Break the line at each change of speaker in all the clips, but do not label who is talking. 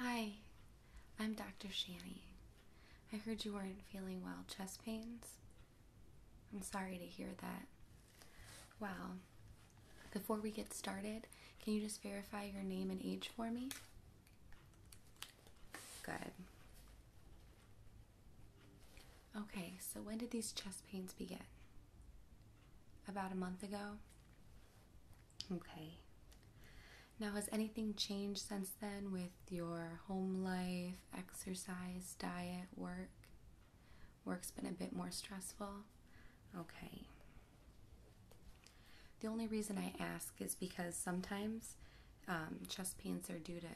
Hi, I'm Dr. Shani. I heard you weren't feeling well. Chest pains? I'm sorry to hear that. Well, Before we get started, can you just verify your name and age for me? Good. Okay, so when did these chest pains begin? About a month ago? Okay. Now, has anything changed since then with your home life, exercise, diet, work? Work's been a bit more stressful. Okay. The only reason I ask is because sometimes um, chest pains are due to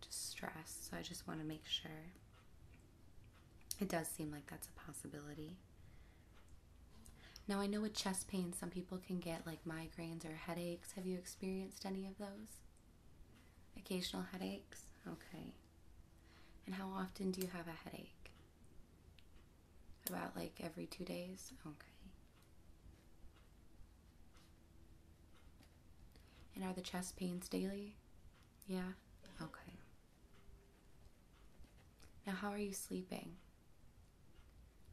just stress, so I just want to make sure. It does seem like that's a possibility. Now, I know with chest pain, some people can get like migraines or headaches. Have you experienced any of those? Occasional headaches? Okay. And how often do you have a headache? About like every two days? Okay. And are the chest pains daily? Yeah? Okay. Now, how are you sleeping?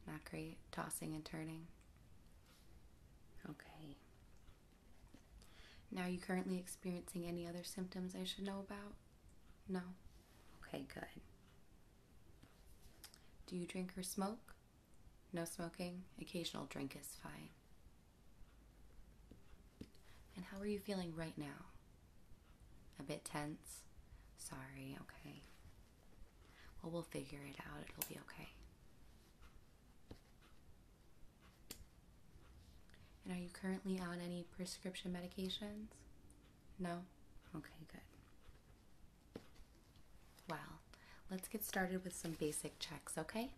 Not great. Tossing and turning? Okay. Now, are you currently experiencing any other symptoms I should know about? No. Okay, good. Do you drink or smoke? No smoking. Occasional drink is fine. And how are you feeling right now? A bit tense? Sorry, okay. Well, we'll figure it out. It'll be okay. And are you currently on any prescription medications? No? Okay, good. Well, let's get started with some basic checks, okay?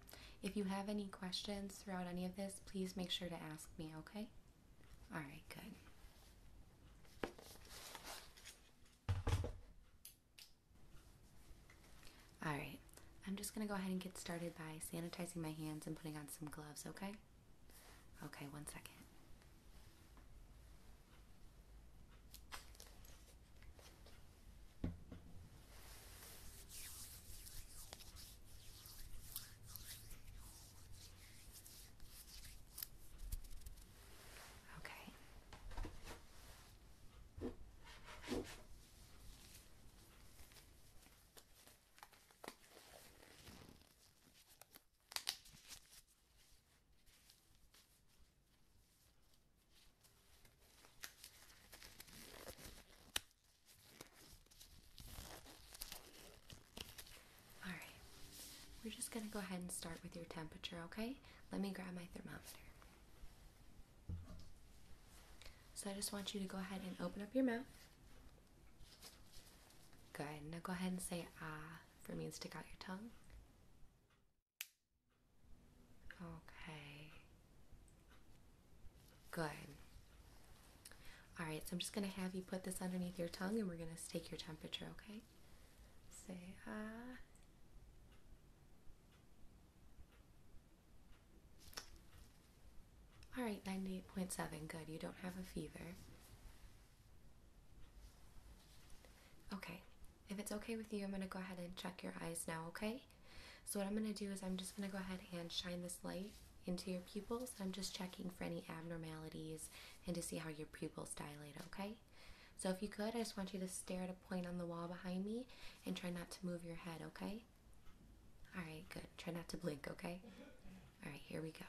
If you have any questions throughout any of this, please make sure to ask me, okay? All right, good. All right, I'm just gonna go ahead and get started by sanitizing my hands and putting on some gloves, okay? Okay, one second. Okay. All right, we're just going to go ahead and start with your temperature, okay? Let me grab my thermometer. So I just want you to go ahead and open up your mouth. Good. Now go ahead and say ah for me and stick out your tongue. Okay. Good. All right, so I'm just going to have you put this underneath your tongue and we're going to take your temperature, okay? Say ah. All right, 98.7, good. You don't have a fever. Okay, if it's okay with you, I'm going to go ahead and check your eyes now, okay? So, what I'm going to do is I'm just going to go ahead and shine this light into your pupils. I'm just checking for any abnormalities and to see how your pupils dilate, okay? So, if you could, I just want you to stare at a point on the wall behind me and try not to move your head, okay? All right, good. Try not to blink, okay? All right, here we go.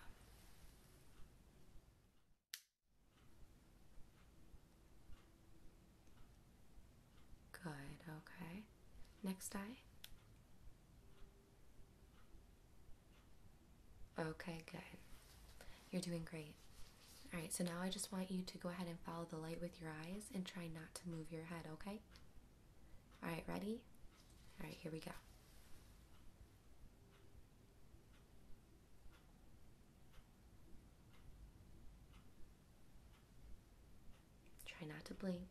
Good, okay. Next eye. Okay, good. You're doing great. All right, so now I just want you to go ahead and follow the light with your eyes and try not to move your head, okay? All right, ready? All right, here we go. Try not to blink.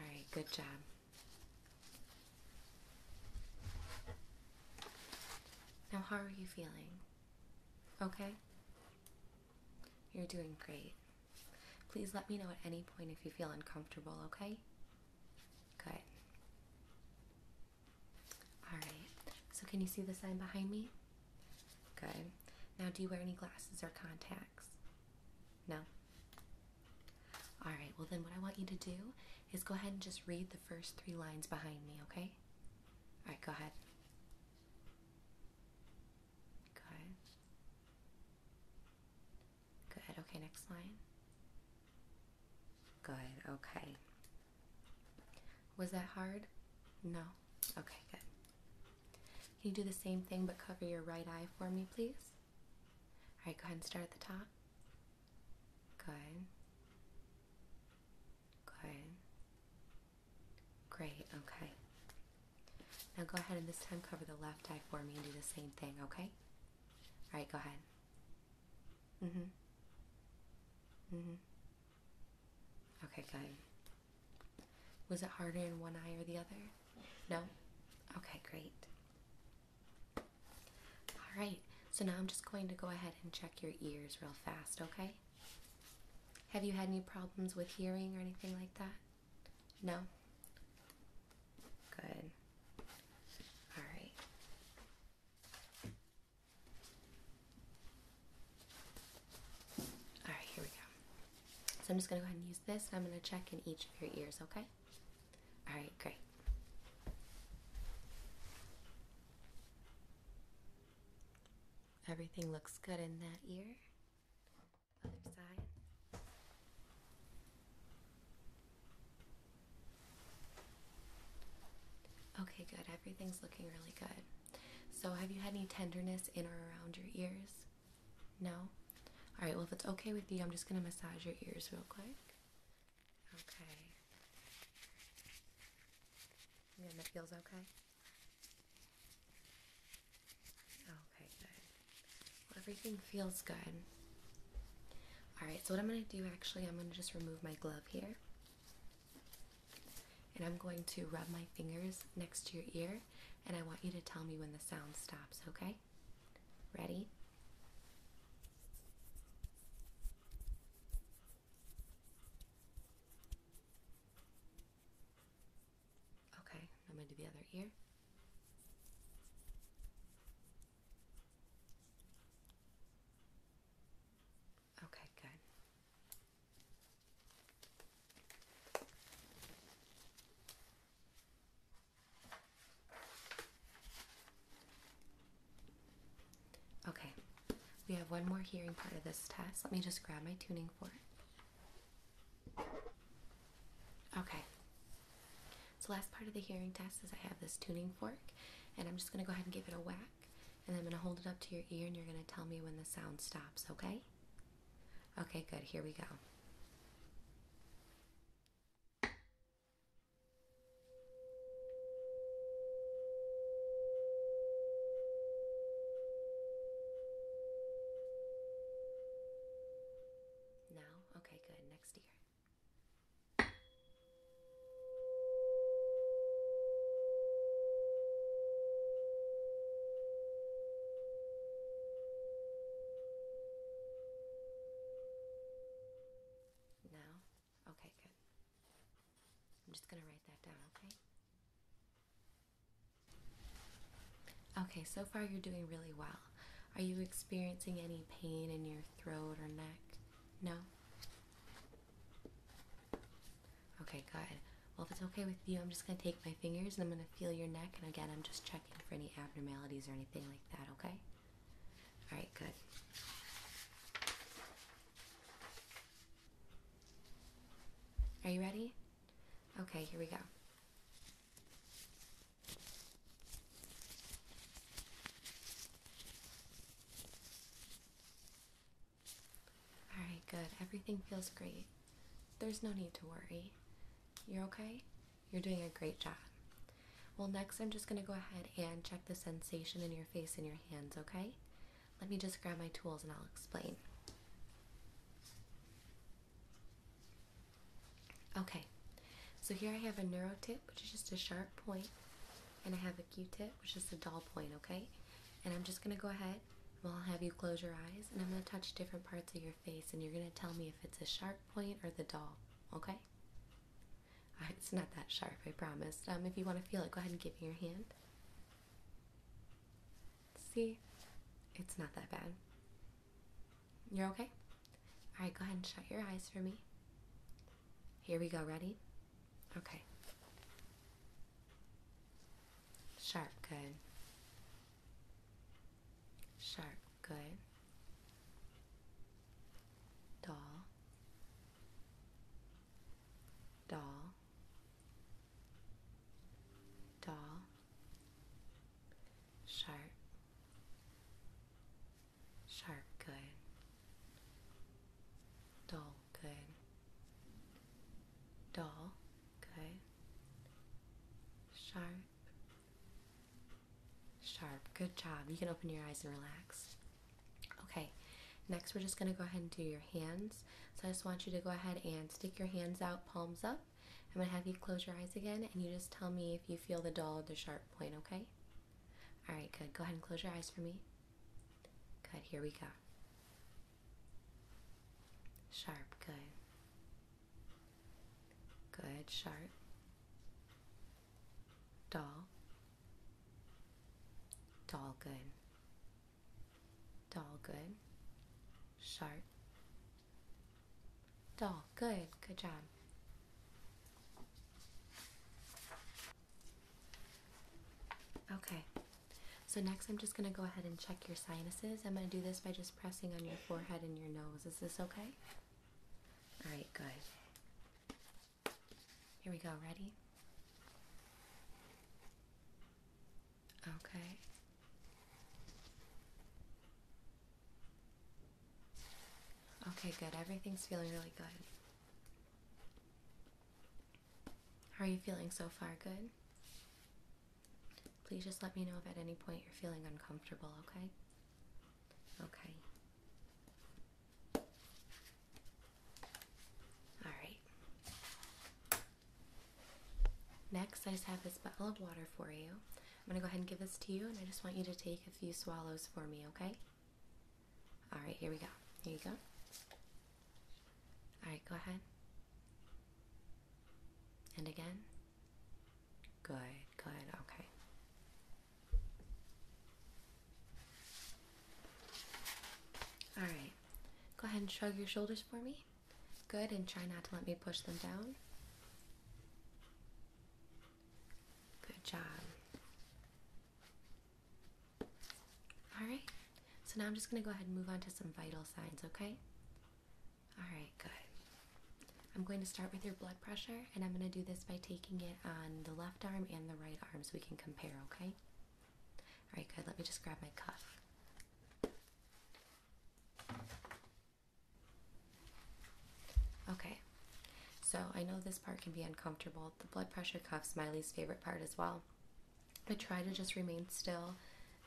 All right, good job. Now, how are you feeling? Okay? You're doing great. Please let me know at any point if you feel uncomfortable, okay? Good. All right. So can you see the sign behind me? Good. Now, do you wear any glasses or contacts? No. All right. Well, then what I want you to do is go ahead and just read the first three lines behind me, okay? All right, go ahead. Good. Good. Okay, next line. Good. Okay. Was that hard? No. Okay, good. Can you do the same thing but cover your right eye for me, please? All right, go ahead and start at the top. Good. Good. Great, okay. Now go ahead and this time cover the left eye for me and do the same thing, okay? All right, go ahead. Mhm. Mhm. Okay, good. Was it harder in one eye or the other? No. Okay, great. All right. So now I'm just going to go ahead and check your ears real fast, okay? Have you had any problems with hearing or anything like that? No? Good. All right. All right, here we go. So I'm just going to go ahead and use this. I'm going to check in each of your ears, okay? All right, great. Everything looks good in that ear. Other side. Okay, good. Everything's looking really good. So, have you had any tenderness in or around your ears? No? Alright, well, if it's okay with you, I'm just going to massage your ears real quick. Okay. And that feels okay? Okay, good. everything feels good. Alright, so what I'm going to do actually, I'm going to just remove my glove here. And I'm going to rub my fingers next to your ear, and I want you to tell me when the sound stops, okay? Ready? Okay, I'm going to do the other ear. Okay, good. Okay, we have one more hearing part of this test. Let me just grab my tuning fork. Okay. So last part of the hearing test is I have this tuning fork and I'm just going to go ahead and give it a whack and I'm going to hold it up to your ear and you're going to tell me when the sound stops, okay? Okay, good. Here we go. Now Oh, okay, good. Next ear. No? Okay, good. I'm just going to write that down, okay? Okay, so far you're doing really well. Are you experiencing any pain in your throat or neck? No? Okay, good. Well, if it's okay with you, I'm just going to take my fingers and I'm going to feel your neck. And again, I'm just checking for any abnormalities or anything like that, okay? All right, good. Are you ready? Okay, here we go. Alright, good. Everything feels great. There's no need to worry. You're okay? You're doing a great job. Well, next I'm just going to go ahead and check the sensation in your face and your hands, okay? Let me just grab my tools and I'll explain. Okay, so here I have a neuro tip, which is just a sharp point, and I have a Q-tip, which is a dull point. Okay, and I'm just gonna go ahead. Well, I'll have you close your eyes, and I'm gonna touch different parts of your face, and you're gonna tell me if it's a sharp point or the dull. Okay. it's not that sharp, I promise. Um, if you want to feel it, go ahead and give me your hand. See, it's not that bad. You're okay? Alright, go ahead and shut your eyes for me. Here we go, ready? Okay. Sharp, good. Sharp, good. Doll. Doll. Doll. Sharp. Sharp good. Dull good. Dull good. Sharp. Sharp. Good job. You can open your eyes and relax. Okay. Next, we're just going to go ahead and do your hands. So I just want you to go ahead and stick your hands out, palms up. I'm going to have you close your eyes again and you just tell me if you feel the dull or the sharp point, okay? All right, good. Go ahead and close your eyes for me. Good, here we go. Sharp, good. Good, sharp. Dull. Dull, good. Dull, good. Sharp. Dull. Good. Good job. Okay. So next I'm just going to go ahead and check your sinuses. I'm going to do this by just pressing on your forehead and your nose. Is this okay? All right, good. Here we go. Ready? Okay. Okay, good. Everything's feeling really good. How are you feeling so far? Good? Please just let me know if at any point you're feeling uncomfortable, okay? Okay. All right. Next, I just have this bottle of water for you. I'm gonna go ahead and give this to you, and I just want you to take a few swallows for me, okay? All right, here we go. Here you go. All right, go ahead. And again. Good, good, okay. All right, go ahead and shrug your shoulders for me. Good, and try not to let me push them down. Good job. All right, so now I'm just going to go ahead and move on to some vital signs, okay? All right, good. I'm going to start with your blood pressure, and I'm going to do this by taking it on the left arm and the right arm so we can compare, okay? All right, good. Let me just grab my cuff. Okay, so I know this part can be uncomfortable. The blood pressure cuff's Miley's favorite part as well. But try to just remain still,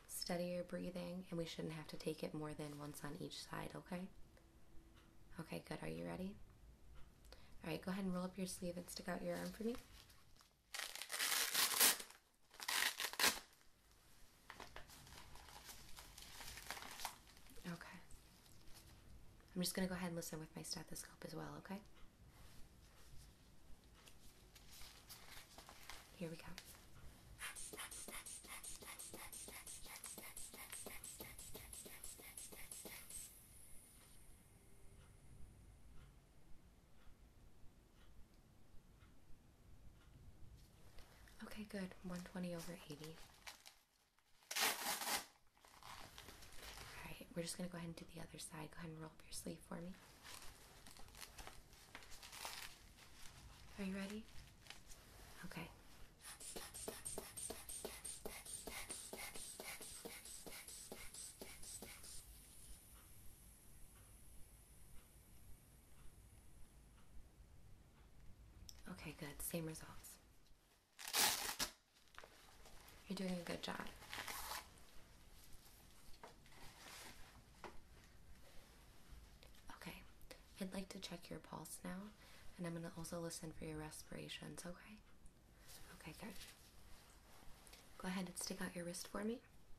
steady your breathing, and we shouldn't have to take it more than once on each side, okay? Okay, good. Are you ready? All right, go ahead and roll up your sleeve and stick out your arm for me. Okay. I'm just going to go ahead and listen with my stethoscope as well, okay? Here we go. Okay, good. 120 over 80. Alright, we're just going to go ahead and do the other side. Go ahead and roll up your sleeve for me. Are you ready? Okay. Okay, good. Same results. You're doing a good job. Okay, I'd like to check your pulse now, and I'm going to also listen for your respirations, okay? Okay, good. Go ahead and stick out your wrist for me.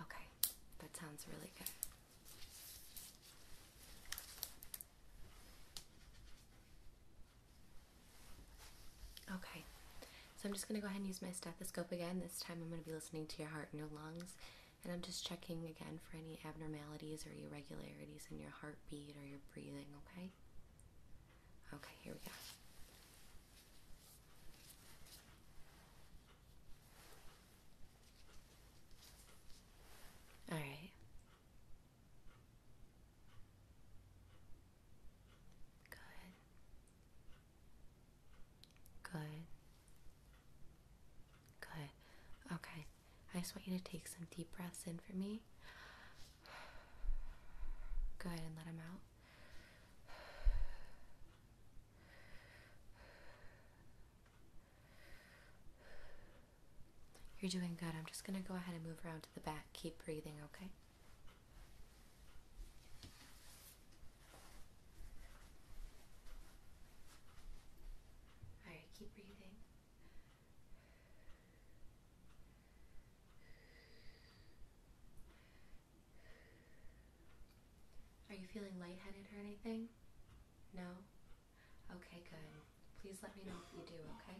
Okay, that sounds really good. Okay, so I'm just going to go ahead and use my stethoscope again. This time I'm going to be listening to your heart and your lungs and I'm just checking again for any abnormalities or irregularities in your heartbeat or your breathing, okay? Okay, here we go. All right. Good. Good. Good. Okay. I just want you to take some deep breaths in for me. Go ahead and let them out. You're doing good. I'm just going to go ahead and move around to the back. Keep breathing, okay? All right, keep breathing. Are you feeling lightheaded or anything? No? Okay, good. Please let me know if you do, okay?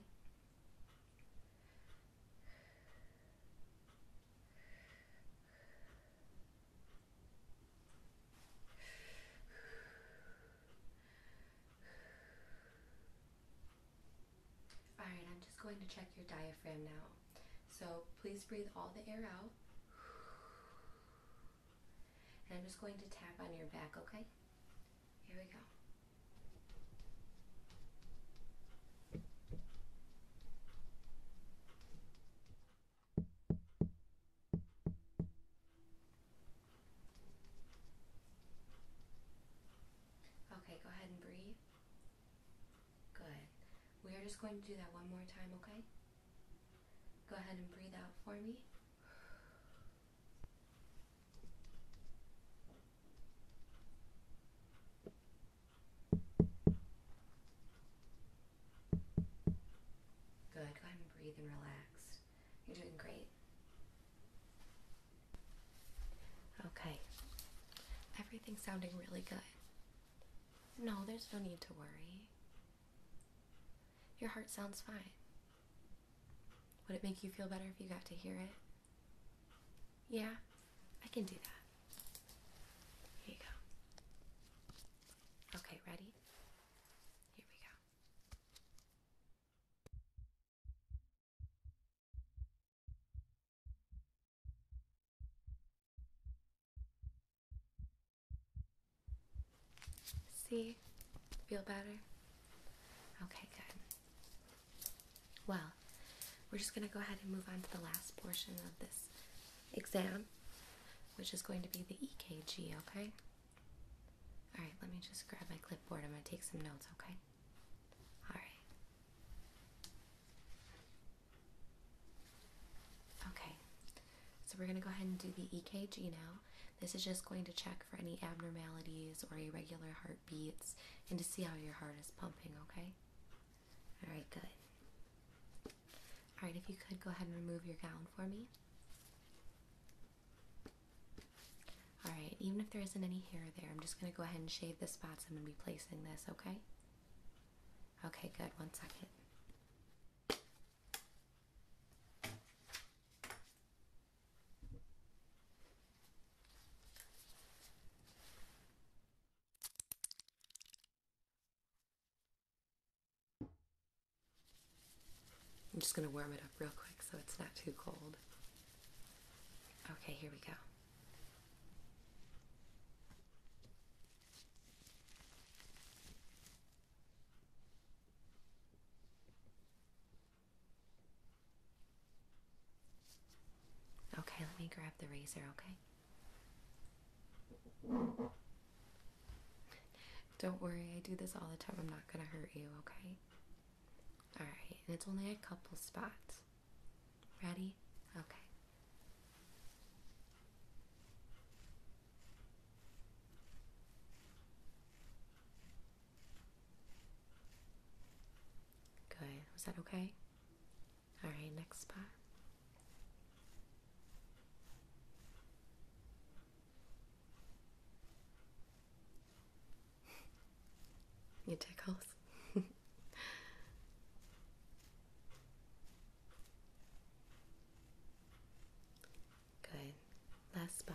All right, I'm just going to check your diaphragm now. So please breathe all the air out. And I'm just going to tap on your back, okay? Here we go. Okay, go ahead and breathe. Good. We are just going to do that one more time, okay? Go ahead and breathe out for me. Good. Go ahead and breathe and relax. You're doing great. Okay. Everything's sounding really good. No, there's no need to worry. Your heart sounds fine. Would it make you feel better if you got to hear it? Yeah, I can do that. Here you go. Okay, ready? Here we go. See? Feel better? Okay, good. Well, we're just going to go ahead and move on to the last portion of this exam, which is going to be the EKG, okay? All right, let me just grab my clipboard. I'm going to take some notes, okay? All right. Okay, so we're going to go ahead and do the EKG now. This is just going to check for any abnormalities or irregular heartbeats and to see how your heart is pumping, okay? All right, good. All right, if you could go ahead and remove your gown for me. Alright, even if there isn't any hair there, I'm just going to go ahead and shave the spots I'm going to be placing this, okay? Okay, good. One second. I'm just going to warm it up real quick so it's not too cold. Okay, here we go. Okay, let me grab the razor, okay? Don't worry, I do this all the time. I'm not gonna hurt you, okay? Alright, and it's only a couple spots. Ready? Okay. Good. Was that okay? Alright, next spot you tickles. Good. Last spot.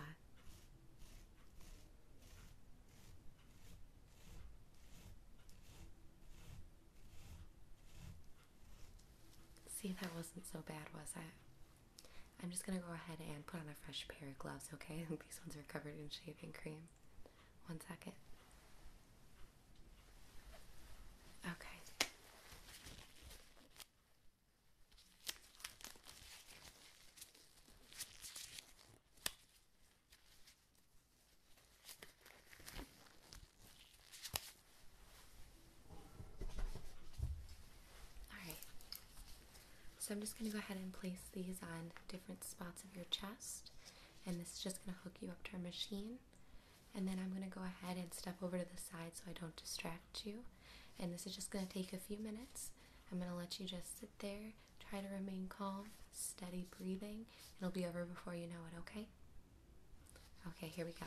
See, that wasn't so bad, was it? I'm just gonna go ahead and put on a fresh pair of gloves, okay? These ones are covered in shaving cream. One second. Okay. Alright, so I'm just going to go ahead and place these on different spots of your chest, and this is just going to hook you up to our machine. And then I'm going to go ahead and step over to the side so I don't distract you. And this is just going to take a few minutes. I'm going to let you just sit there, try to remain calm, steady breathing. It'll be over before you know it, okay? Okay, here we go.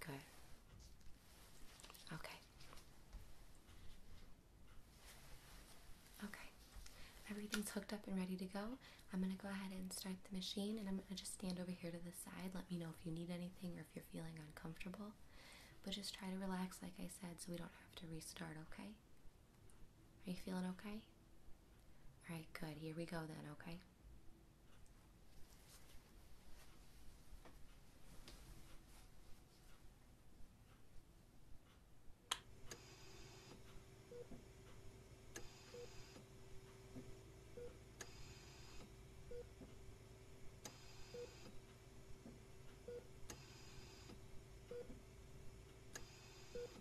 Good. Okay. Okay. Everything's hooked up and ready to go. I'm going to go ahead and start the machine and I'm going to just stand over here to the side. Let me know if you need anything or if you're feeling uncomfortable. But just try to relax, like I said, so we don't have to restart, okay? Are you feeling okay? Alright, good. Here we go then, okay?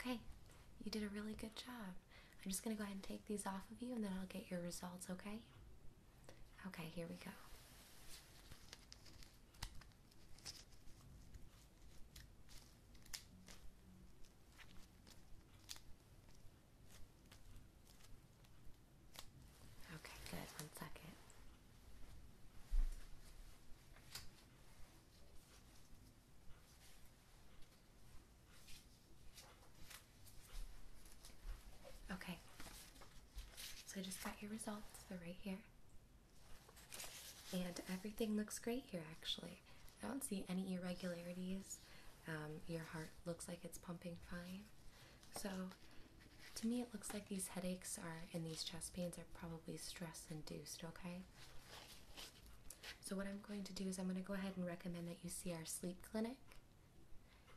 Okay, you did a really good job. I'm just going to go ahead and take these off of you and then I'll get your results, okay? Okay, here we go. Okay, good. One second. Okay. So I just got your results. They're right here. And everything looks great here, actually. I don't see any irregularities. Um, your heart looks like it's pumping fine. So, to me, it looks like these headaches are and these chest pains are probably stress induced, okay? So, what I'm going to do is I'm going to go ahead and recommend that you see our sleep clinic.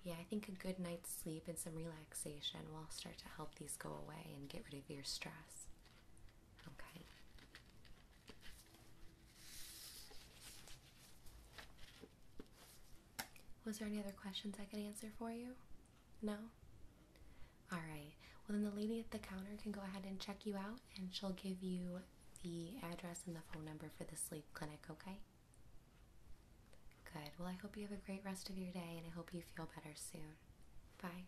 Yeah, I think a good night's sleep and some relaxation will start to help these go away and get rid of your stress. Okay. Was there any other questions I could answer for you? No? Alright, well, then the lady at the counter can go ahead and check you out and she'll give you the address and the phone number for the sleep clinic, okay? Good. Well, I hope you have a great rest of your day and I hope you feel better soon. Bye.